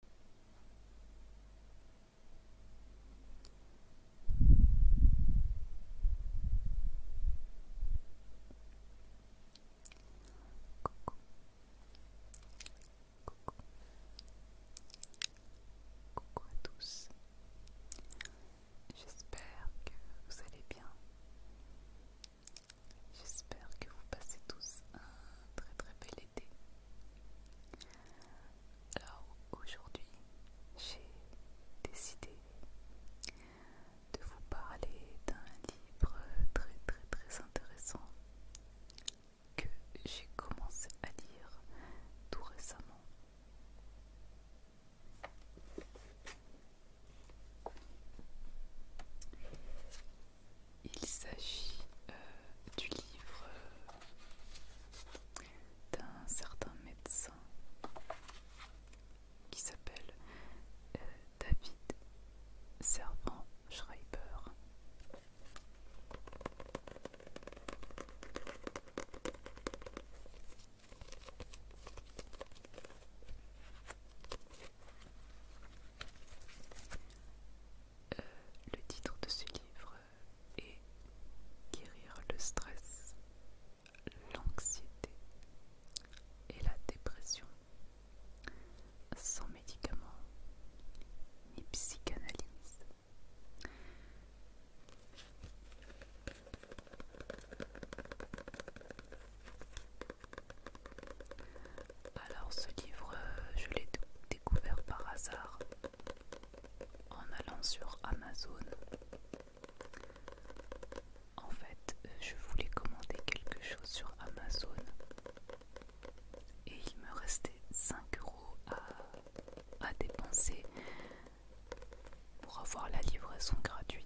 Coucou. à tous. J'espère que vous allez bien. J'espère que vous passez tous un très très bel alors aujourd'hui, j'ai décidé de vous parler d'un livre très très très intéressant que j'ai commencé à lire tout récemment. Il s'agit euh, du livre euh, d'un certain médecin qui s'appelle euh, David Servant Schreiber. Euh, le titre de ce livre est Guérir le stress, l'anxiété et la dépression sans médicaments ni psychanalyse. Alors ce livre, euh, je l'ai découvert par hasard en allant sur Amazon. En fait, euh, je voulais commander quelque chose sur Amazon et il me restait 5 euros à, à dépenser pour avoir la livraison gratuite.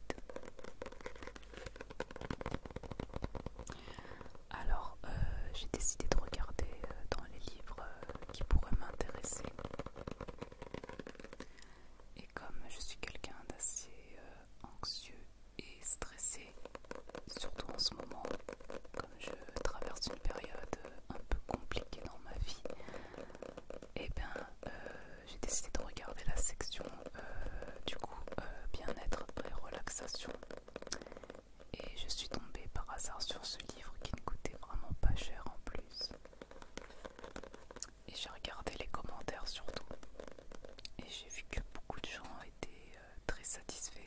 Alors, euh, j'ai décidé de regarder euh, dans les livres euh, qui pourraient m'intéresser. Et comme je suis quelqu'un d'assez anxieux et stressé, surtout en ce moment, comme je traverse une période un peu compliquée dans ma vie, et eh bien j'ai décidé de regarder la section du coup bien-être et relaxation et je suis tombée par hasard sur ce livre qui ne coûtait vraiment pas cher en plus. Et j'ai regardé les commentaires surtout. Et j'ai vu que beaucoup de gens étaient euh, très satisfaits.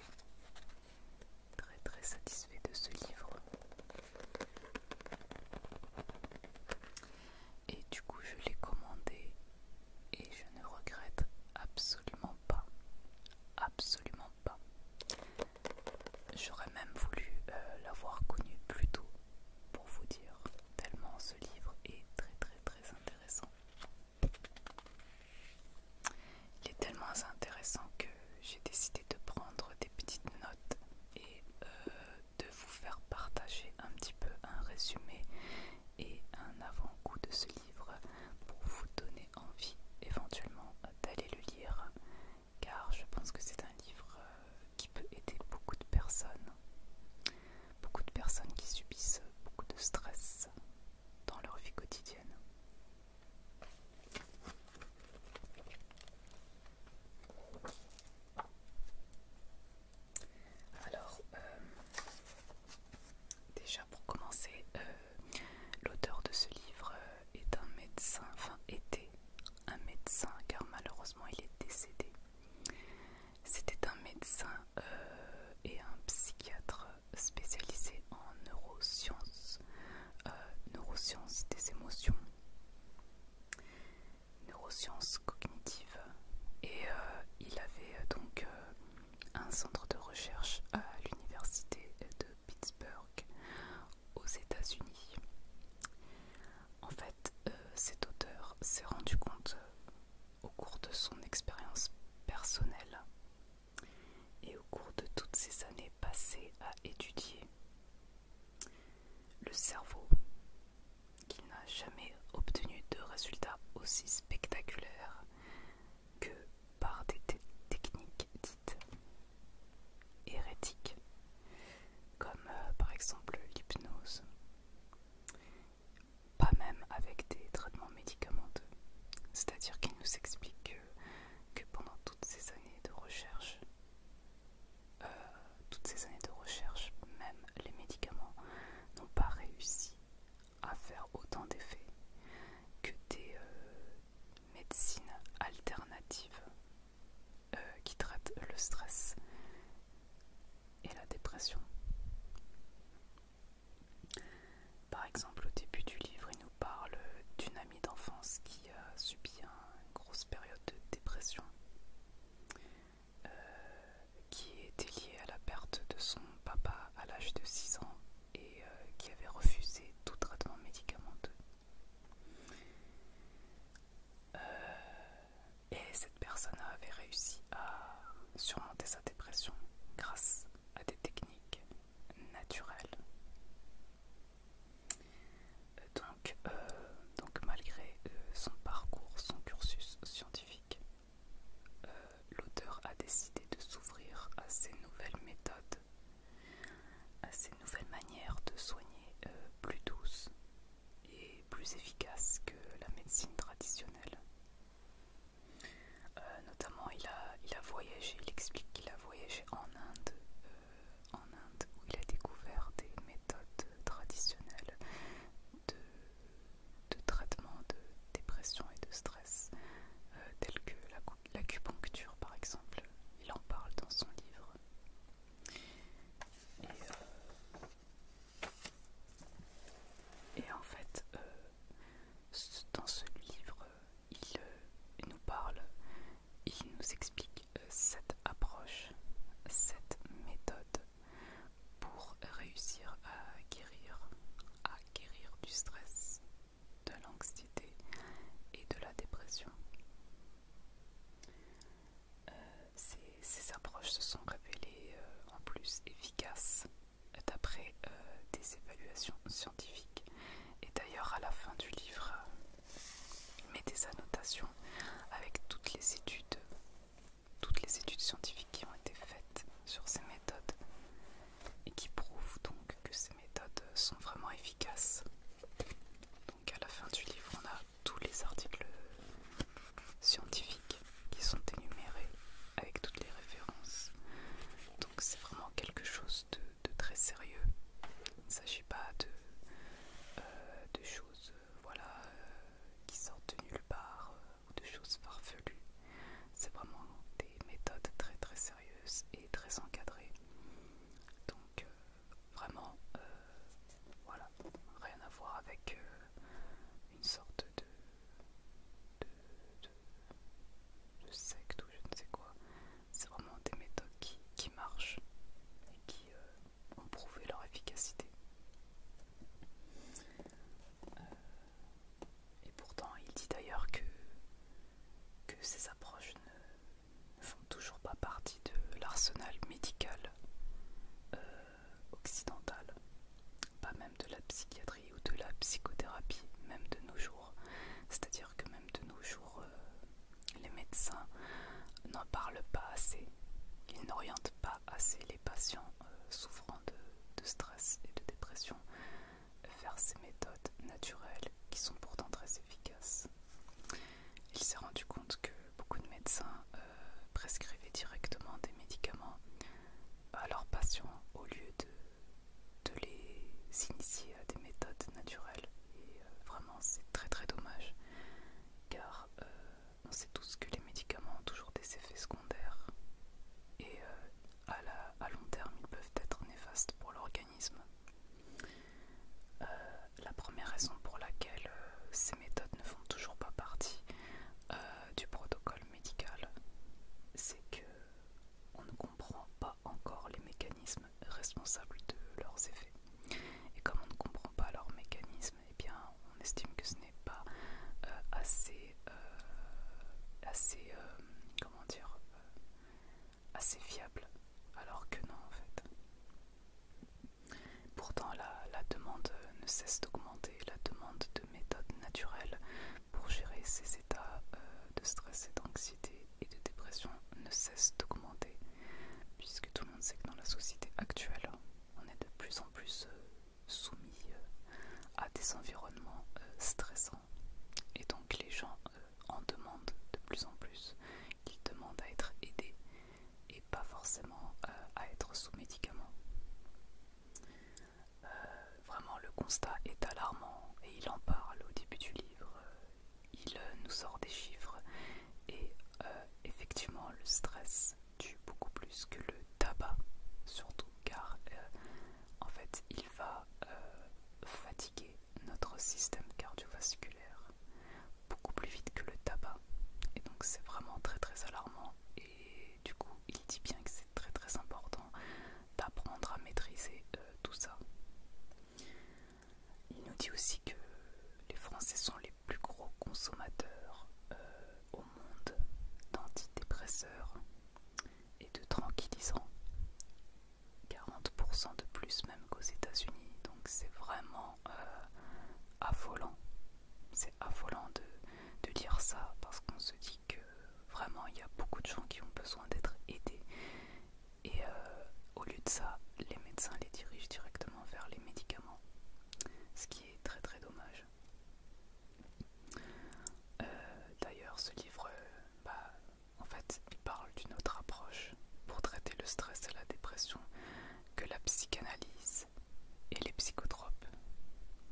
Très très satisfaits de ce livre. Et du coup je l'ai commandé et je ne regrette absolument pas absolument pas. J'aurais même voulu euh, l'avoir connu plus tôt, pour vous dire, tellement ce livre est très très très intéressant. Il est tellement intéressant que j'ai décidé de prendre des petites notes et euh, de vous faire partager un petit peu un résumé et un avant-goût de ce livre pour vous donner envie éventuellement d'aller le lire car je pense que c'est un livre euh, qui peut aider beaucoup de personnes, beaucoup de personnes qui subissent beaucoup de stress dans leur vie quotidienne. Alors, euh, Déjà pour commencer, euh, l'auteur de ce livre euh, est un médecin, enfin était un médecin car malheureusement il est décédé. C'était un médecin euh, et un psychiatre spécialisé en neurosciences, neurosciences des émotions, neurosciences cognitives et il avait donc un centre de recherche à l'université de Pittsburgh aux États-Unis. En fait, euh, cet auteur s'est rendu compte euh, au cours de son expérience personnelle et au cours de toutes ces années passées à étudier le cerveau qu'il n'a jamais obtenu de résultats aussi spectaculaires que par des techniques dites hérétiques, comme euh, par exemple l'hypnose, pas même avec des traitements médicamenteux. C'est-à-dire qu'il nous explique que, pendant toutes ces années de recherche, euh, toutes ces années de recherche, même les médicaments n'ont pas réussi à faire autant d'effets que des euh, médecines alternatives euh, qui traitent le stress et la dépression. Par exemple, au début du livre, il nous parle d'une amie d'enfance qui a subi une grosse période de dépression. Euh, qui était liée à la perte de son papa à l'âge de 6 ans et euh, qui avait refusé tout traitement médicamenteux. Euh, et cette personne avait réussi à surmonter sa dépression grâce à des techniques naturelles. Euh, donc, donc malgré son parcours, son cursus scientifique, euh, l'auteur a décidé de s'ouvrir à ces nouvelles méthodes, à ces nouvelles manières de soigner euh, plus douces et plus efficaces que la médecine traditionnelle. Euh, notamment, il a, voyagé, il explique qu'il a voyagé en Inde, en Inde où il a découvert des méthodes traditionnelles de, traitement de dépression et de stress, euh, tels que l'acupuncture par exemple. Il en parle dans son livre. Et, euh, en fait, euh, dans ce livre, il nous parle, il nous explique cette approche, cette méthode pour réussir à guérir, à guérir du stress, de l'anxiété et de la dépression. Euh, ces, approches se sont révélées euh, en plus efficaces d'après euh, des évaluations scientifiques. Et d'ailleurs à la fin du livre, il met des annotations avec toutes les études toutes les études scientifiques qui ont été faites sur ces méthodes et qui prouvent donc que ces méthodes sont vraiment efficaces. Donc à la fin du livre, on a tous les articles scientifiques qui sont énumérés avec toutes les références. Donc c'est vraiment quelque chose de, très sérieux. Il ne s'agit pas de, euh, choses euh, euh, qui sortent de nulle part ou de choses farfelues. C'est vraiment des méthodes très très sérieuses et très encadrées. Donc euh, vraiment, euh, voilà, rien à voir avec euh, une sorte de secte ou je ne sais quoi. C'est vraiment des méthodes qui, marchent et qui ont prouvé leur efficacité. Euh, et pourtant, il dit d'ailleurs que, que ces approches ne, font toujours pas partie de l'arsenal médical euh, occidental, pas même de la psychiatrie ou de la psychothérapie, même de nos jours. C'est-à-dire que même de nos jours, euh, les médecins n'en parlent pas assez, ils n'orientent pas assez les patients souffrant de de, stress et de dépression faire ces méthodes naturelles qui sont pourtant très efficaces. Il s'est rendu compte que beaucoup de médecins euh, prescrivaient directement des médicaments à leurs patients au lieu de, les initier à des méthodes naturelles. Et euh, vraiment, c'est très très dommage car euh, on sait tous que les médicaments ont toujours des effets secondaires et euh, à, long terme ils peuvent être néfastes pour l'organisme. Euh, la première raison pour laquelle euh, ces méthodes ne font toujours pas partie du protocole médical, c'est que on ne comprend pas encore les mécanismes responsables de leurs effets. Et comme on ne comprend pas leurs mécanismes, et eh bien, on estime que ce n'est pas euh, assez, euh, assez, euh, comment dire, assez fiable, alors que non en fait. Pourtant, la, demande ne cesse d'augmenter, la demande de méthodes naturelles pour gérer ces états de stress et d'anxiété et de dépression ne cesse d'augmenter, puisque tout le monde sait que dans la société actuelle, on est de plus en plus soumis euh, à des environnements euh, stressants. Et donc les gens euh, en demandent de plus en plus. Ils demandent à être aidés et pas forcément à être sous médicaments. vraiment, le constat est alarmant et il en parle au début du livre. Il nous sort des chiffres et effectivement, le stress du beaucoup plus que le tabac, surtout car euh, en fait il va euh, fatiguer notre système cardiovasculaire beaucoup plus vite que le tabac. Et donc c'est vraiment très très alarmant. Et du coup il dit bien que c'est très très important d'apprendre à maîtriser euh, tout ça. Il nous dit aussi que les Français sont les plus gros consommateurs au monde d'antidépresseurs et de tranquillisants. 40% de plus même qu'aux États-Unis. Donc c'est vraiment euh, affolant. C'est affolant de, dire ça parce qu'on se dit que vraiment il y a beaucoup de gens qui ont besoin d'être aidés. Et euh, au lieu de ça, les médecins les dirigent directement vers les médicaments. Ce qui est très très dommage. Euh, d'ailleurs, ce livre, euh, bah, en fait, parle d'une autre approche pour traiter le stress et la dépression que la psychanalyse et les psychotropes.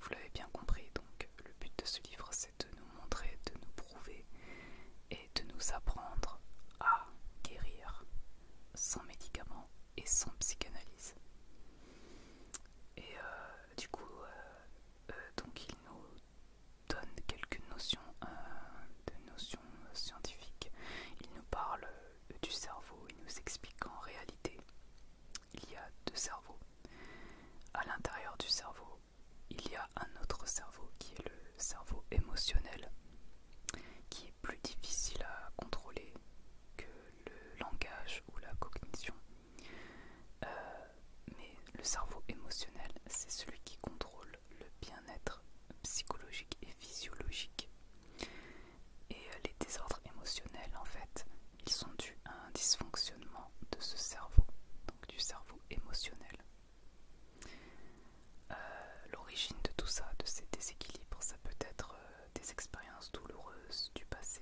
Vous l'avez bien compris, donc le but de ce livre, c'est de nous montrer, de nous prouver et de nous apprendre à guérir sans médicaments et sans psychanalyse. Et euh, du coup, euh, euh, donc il nous donne quelques notions, de notions scientifiques. Il nous parle du cerveau, il nous explique qu'en réalité, il y a deux cerveaux. À l'intérieur du cerveau, il y a un autre cerveau qui est le cerveau émotionnel, qui est plus difficile à contrôler que le langage ou la cognition. Euh, mais le cerveau émotionnel, c'est celui qui contrôle le bien-être psychologique et physiologique. Et euh, les désordres émotionnels, en fait, ils sont dus à un dysfonctionnement de ce cerveau, donc du cerveau émotionnel. Euh, l'origine de tout ça, de ces déséquilibres, ça peut être euh, des expériences douloureuses du passé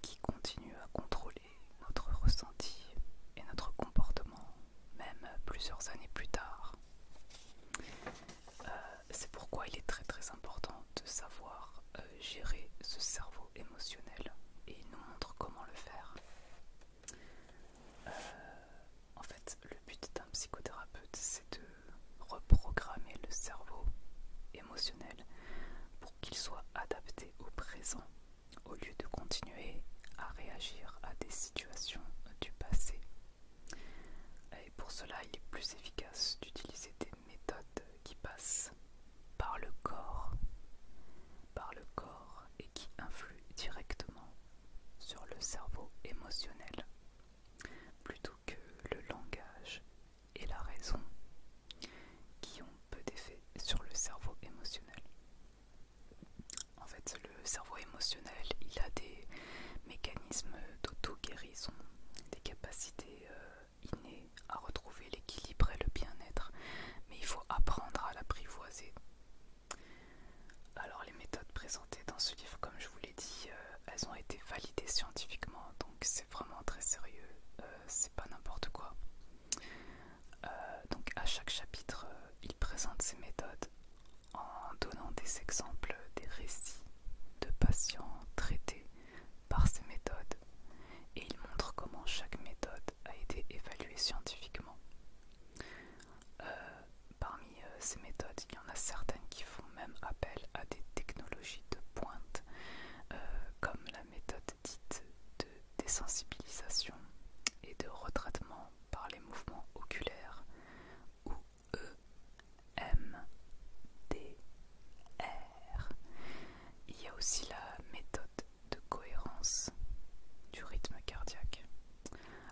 qui continuent à contrôler notre ressenti et notre comportement, même plusieurs années plus tard. Euh, c'est pourquoi il est très très important de savoir euh, gérer ce cerveau émotionnel et il nous montre comment le faire. en fait, le but d'un psychothérapeute, c'est de reprogrammer le cerveau émotionnel pour qu'il soit adapté au présent au lieu de continuer à réagir à des situations du passé. Et pour cela, il est plus efficace d'utiliser des méthodes qui passent par le corps, par le corps et qui influent directement sur le cerveau émotionnel, plutôt que le langage et la raison qui ont peu d'effet sur le cerveau émotionnel. En fait, le cerveau émotionnel, il a des mécanismes d'auto-guérison, des capacités euh, innées à retrouver l'équilibre et le bien-être, mais il faut apprendre à l'apprivoiser. Alors les méthodes présentées dans ce livre, comme je vous l'ai dit, euh, elles ont été validées scientifiquement, c'est vraiment très sérieux, euh, c'est pas n'importe quoi. Euh, donc à chaque chapitre, euh, il présente ses méthodes en donnant des exemples, des récits de patients traités par ces méthodes et il montre comment chaque méthode a été évaluée scientifiquement. parmi ces méthodes, il y en a certains qui font même appel à des technologies de pointe, euh, comme la méthode dite de désensibilisation et de retraitement par les mouvements oculaires, ou EMDR. Il y a aussi la méthode de cohérence du rythme cardiaque.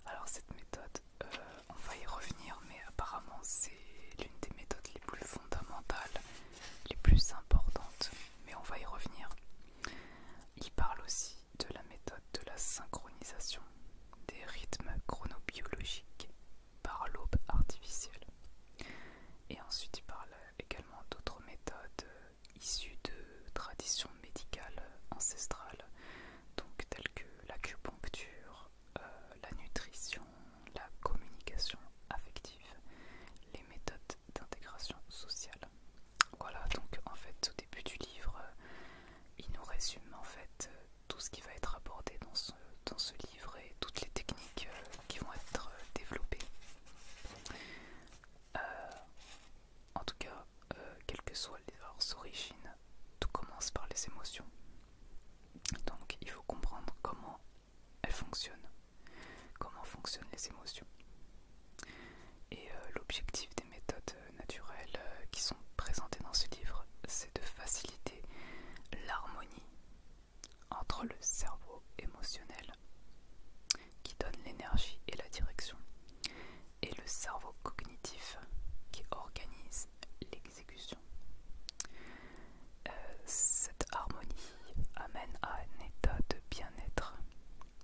Alors cette méthode, euh, on va y revenir, mais apparemment c'est l'une des méthodes les plus fondamentales, les plus importantes, mais on va y revenir. Il parle aussi de la méthode de la synchronisation des rythmes chronobiologiques par l'aube artificielle. Et ensuite il parle également d'autres méthodes issues de traditions médicales ancestrales, donc telles que l'acupuncture, euh, la nutrition, la communication affective, les méthodes d'intégration sociale. Voilà, donc en fait au début du livre, euh, il nous résume en fait euh, tout ce qui va être abordé dans ce, livre et toutes les techniques qui vont être développées. en tout cas, quelles que soient leurs origines, tout commence par les émotions. Donc il faut comprendre comment elles fonctionnent, comment fonctionnent les émotions. Et euh, l'objectif des méthodes euh, naturelles euh, qui sont présentées dans ce livre, c'est de faciliter l'harmonie entre le cerveau émotionnel qui donne l'énergie et la direction et le cerveau cognitif qui organise les euh, cette harmonie amène à un état de bien-être,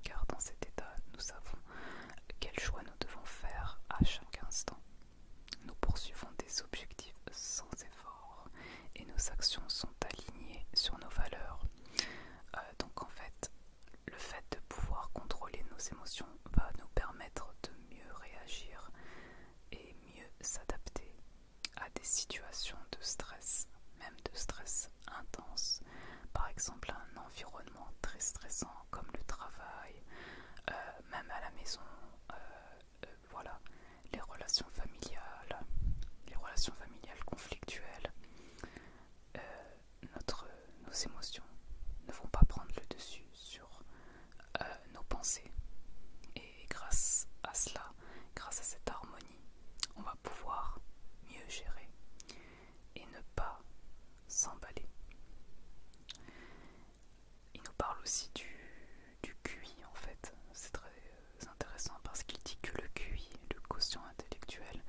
car dans cet état, nous savons quel choix nous devons faire à chaque instant. Nous poursuivons des objectifs sans effort et nos actions sont alignées sur nos valeurs. Euh, donc en fait, le fait de pouvoir contrôler nos émotions va nous permettre de mieux réagir et mieux s'adapter à des situations de stress, même de stress intense, par exemple un environnement très stressant comme le travail, euh, même à la maison, euh, euh, voilà, les relations familiales, les relations familiales conflictuelles, nos émotions ne vont pas prendre le dessus euh, nos pensées. Et grâce à cela, grâce à cette harmonie, on va pouvoir mieux gérer et ne pas s'emballer. Il nous parle aussi du, du QI en fait. C'est très euh, intéressant parce qu'il dit que le QI, le quotient intellectuel,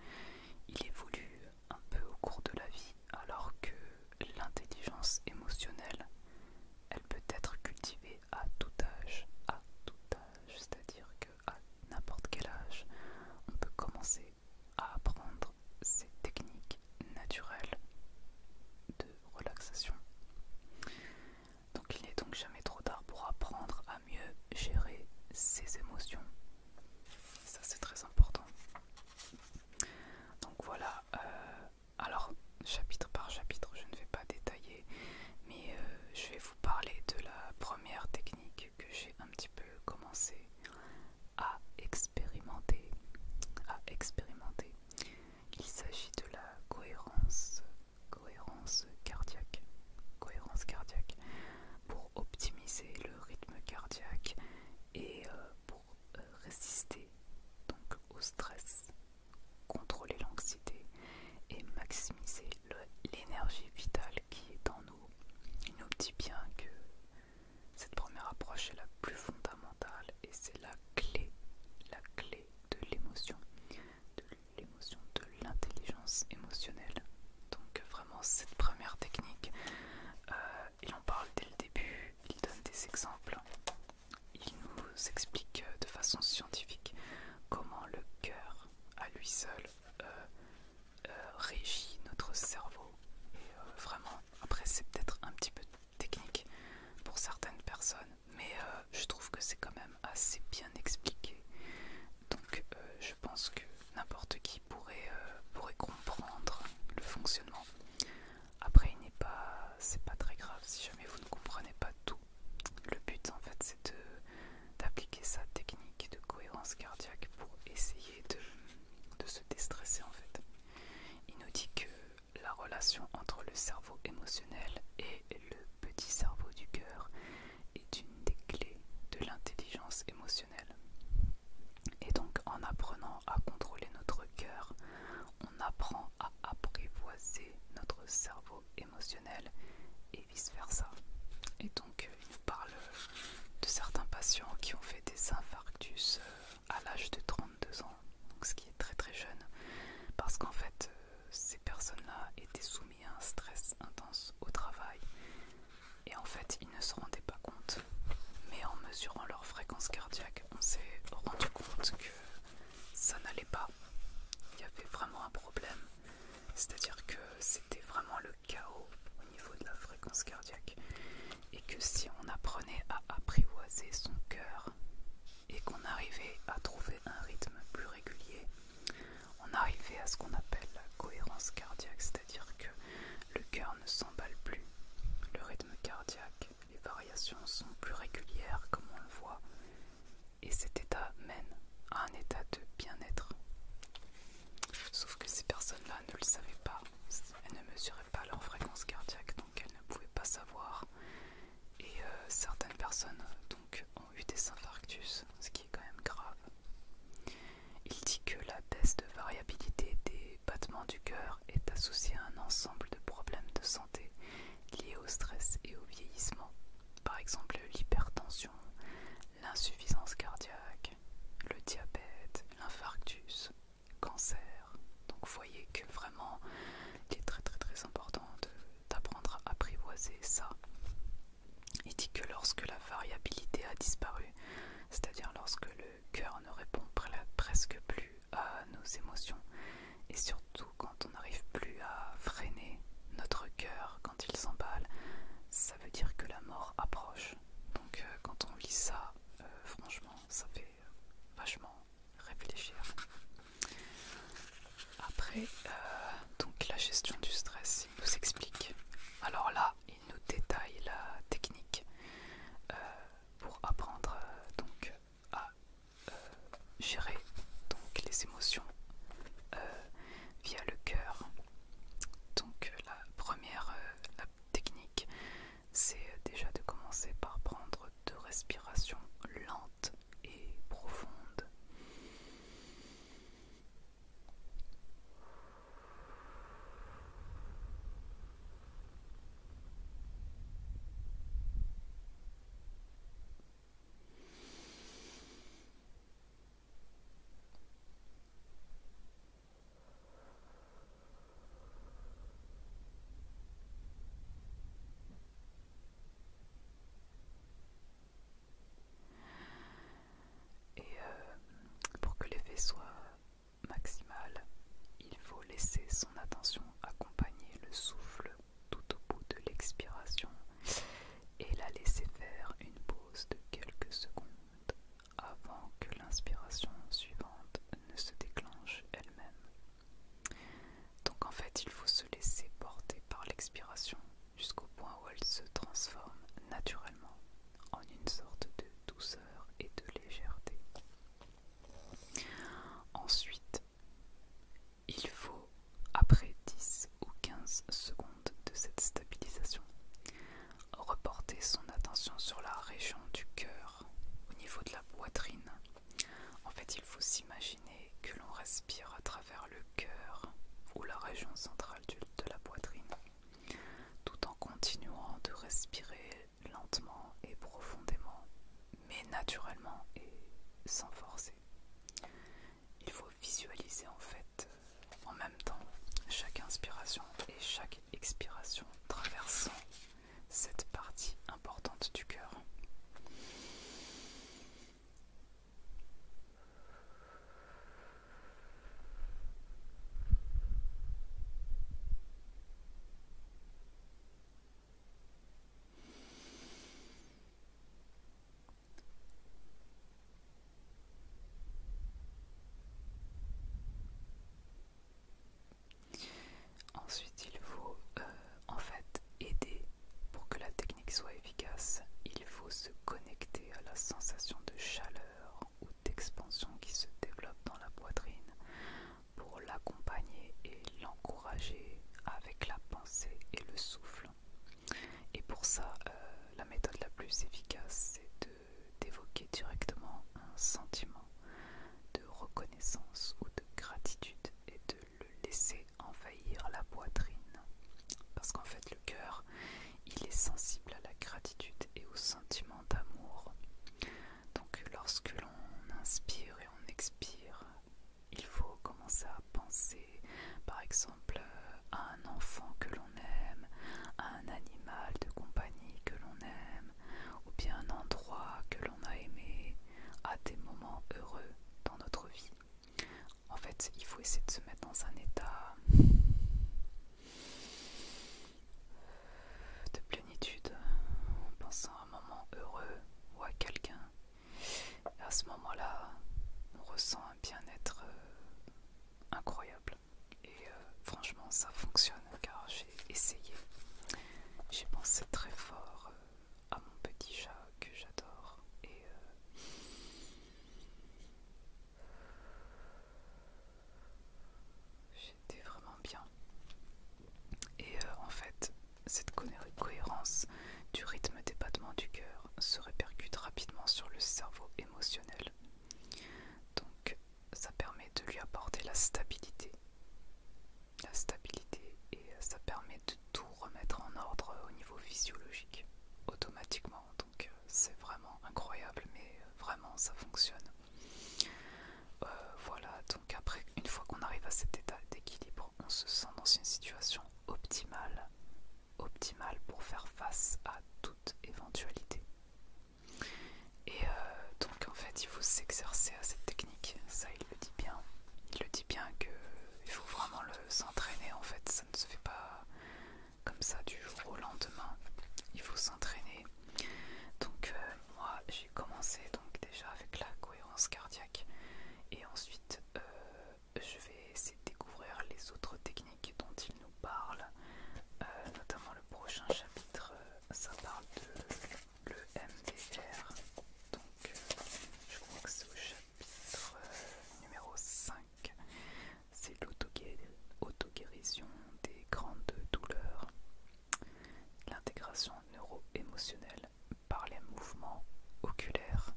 il évolue un peu au cours de la vie alors que l'intelligence émotionnelle, elle peut être cultivée à tout âge, à tout âge, c'est-à-dire qu'à n'importe quel âge, on peut commencer à apprendre ces techniques naturelles de relaxation. Donc il n'est donc jamais trop tard pour apprendre à mieux gérer ses émotions. Ça c'est très important. Donc voilà, euh, alors, chapitre par chapitre, je ne vais pas détailler, mais euh, je vais vous parler de la première technique que j'ai un petit peu commencé à expérimenter. À expérimenter. Il s'agit de la cohérence, cohérence cardiaque, cohérence cardiaque, pour optimiser le rythme cardiaque et euh, pour euh, résister donc au stress, contrôler l'anxiété et maximiser l'énergie vitale qui est en nous. Il nous dit bien que cette première approche est la plus fondamentale et c'est la clé, la clé de l'émotion, de l'émotion, de l'intelligence émotionnelle. Donc vraiment cette première technique, euh, il en parle dès le début, il donne des exemples, il nous explique de façon scientifique comment le cœur à lui seul euh, euh, régit notre cerveau. Et euh, vraiment, après c'est peut-être un petit peu technique pour certaines personnes, mais je trouve que c'est quand même assez bien expliqué. Donc je pense que n'importe qui pourrait comprendre le fonctionnement. Après, il n'est pas, c'est pas très grave si jamais vous ne comprenez pas tout. Le but, en fait, c'est d'appliquer sa technique de cohérence cardiaque pour essayer de, de se déstresser, en fait. Il nous dit que la relation entre le cerveau émotionnel et le petit cerveau du cœur est une des clés de l'intelligence émotionnelle. Et donc en apprenant à contrôler notre cœur, on apprend à apprivoiser notre cerveau émotionnel et vice-versa. Et donc, euh, il nous parle de certains patients qui ont fait des infarctus euh, à l'âge de 32 ans, ce qui est très très jeune, parce qu'en fait, euh, ces personnes-là étaient soumises à un stress intense au travail. Et en fait, ils ne se rendaient pas compte mais en mesurant leur fréquence cardiaque, on s'est rendu compte que ça n'allait pas. Il y avait vraiment un problème, c'est-à-dire que c'était vraiment le chaos au niveau de la fréquence cardiaque, et que si on apprenait à apprivoiser son cœur et qu'on arrivait à trouver un rythme plus régulier, on arrivait à ce qu'on appelle la cohérence cardiaque, c'est-à-dire que le cœur ne s'emballe plus. Le rythme cardiaque, les variations sont plus régulières comme on le voit. Et cet état mène à un état de bien-être. Sauf que ces personnes-là ne le savaient pas. Elles ne mesuraient pas leur fréquence cardiaque, donc elles ne pouvaient pas savoir. Et euh, certaines personnes ont eu des infarctus, ce qui est quand même grave. Il dit que la test de variabilité des battements du cœur est associé à un ensemble de problèmes de santé liés au stress et au vieillissement, par exemple l'hypertension, l'insuffisance cardiaque, le diabète, l'infarctus, cancer. Donc voyez que vraiment il est très très très important d'apprendre à apprivoiser ça. Il dit que lorsque la variabilité a disparu, c'est-à-dire lorsque le cœur ne répond presque plus à nos émotions et surtout quand on n'arrive plus à freiner notre cœur quand il s'emballe, ça veut dire que la mort approche. Donc euh, quand on lit ça, euh, franchement, ça fait vachement réfléchir. Après, euh, donc la gestion du stress, il nous explique. Alors là, il nous détaille la technique pour apprendre euh, donc à euh, gérer les émotions euh, via le cœur. Donc la première technique, c'est déjà de commencer par prendre deux respirations lentes et profondes. Et euh, pour que l'effet soit maximale, il faut laisser son attention accompagner le souffle tout au bout de l'expiration et la laisser faire une pause de quelques secondes avant que l'inspiration suivante ne se déclenche elle-même. Donc en fait, il faut se laisser porter par l'expiration jusqu'au point où elle se transforme naturellement en une sorte de douceur et de légèreté. Ensuite, il faut, après 10 ou 15 secondes de cette stabilisation, reporter son attention sur la région du cœur, au niveau de la poitrine. En fait, il faut s'imaginer que l'on respire à travers le cœur ou la région centrale de la poitrine, tout en continuant de respirer lentement et profondément, mais naturellement et sans forcer. Il faut visualiser en fait en même temps chaque inspiration et chaque expiration traversant cette partie importante du cœur. Ensuite, il faut euh, en fait aider pour que la technique soit efficace. Il faut se connecter à la sensation de chaleur d'expansion qui se développe dans la poitrine pour l'accompagner et l'encourager avec la pensée et le souffle. Et pour ça, euh, la méthode la plus efficace, c'est d'évoquer directement un sentiment de reconnaissance ou de gratitude et de le laisser envahir la poitrine. Parce qu'en fait, le cœur, il est sensible à la gratitude et au sentiment d'amour. Donc lorsque l'on inspire et on expire, il faut commencer à penser par exemple à un enfant que l'on aime, à un animal de compagnie que l'on aime, ou bien un endroit que l'on a aimé, à des moments heureux dans notre vie. En fait, il faut essayer de se mettre dans un état de plénitude, en pensant à un moment heureux ou à quelqu'un. à ce moment-là, on ressent un bien-être euh, incroyable. Et euh, franchement, ça fonctionne car j'ai essayé. J'ai pensé très fort euh, à mon petit chat que j'adore et J'étais vraiment bien. Et euh, en fait, cette cohérence du rythme des battements du cœur se répercute rapidement sur le cerveau émotionnel. Donc, ça permet de lui apporter la stabilité. La stabilité et ça permet de tout remettre en ordre au niveau physiologique, automatiquement, donc euh, c'est vraiment incroyable, mais euh, vraiment ça fonctionne. Euh, voilà, donc après, une fois qu'on arrive à cet état d'équilibre, on se sent dans une situation optimale, optimale pour faire face à toute éventualité. Et donc en fait, il faut s'exercer à cette technique, ça il le dit bien. Il le dit bien que il faut vraiment s'entraîner en fait, ça ne se fait pas comme ça du jour au lendemain. Il faut s'entraîner. Donc euh, moi j'ai commencé donc déjà avec la cohérence cardiaque et ensuite euh, je vais essayer de découvrir les autres techniques dont il nous parle, euh, notamment le prochain chapitre, ça parle de le MDR. Donc je crois que c'est au chapitre numéro 5. C'est l'auto-guérison des grandes douleurs, l'intégration neuro-émotionnelle par les mouvements oculaires.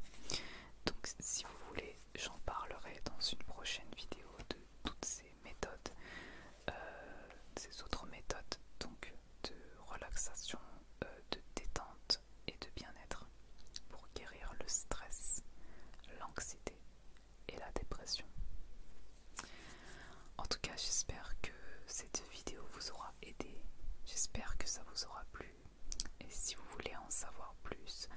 Donc si vous voulez, j'en parlerai dans une prochaine vidéo de toutes ces méthodes, euh, ces autres méthodes de relaxation, euh, de détente et de bien-être pour guérir le stress, l'anxiété et la dépression. En tout cas, j'espère que cette vidéo vous aura aidé. J'espère que ça vous aura plu. Et si vous voulez en savoir plus,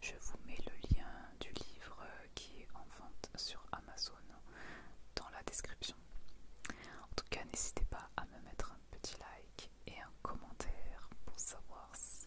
je vous mets le lien du livre qui est en vente sur Amazon dans la description. En tout cas, n'hésitez pas à me mettre un petit like et un commentaire pour savoir si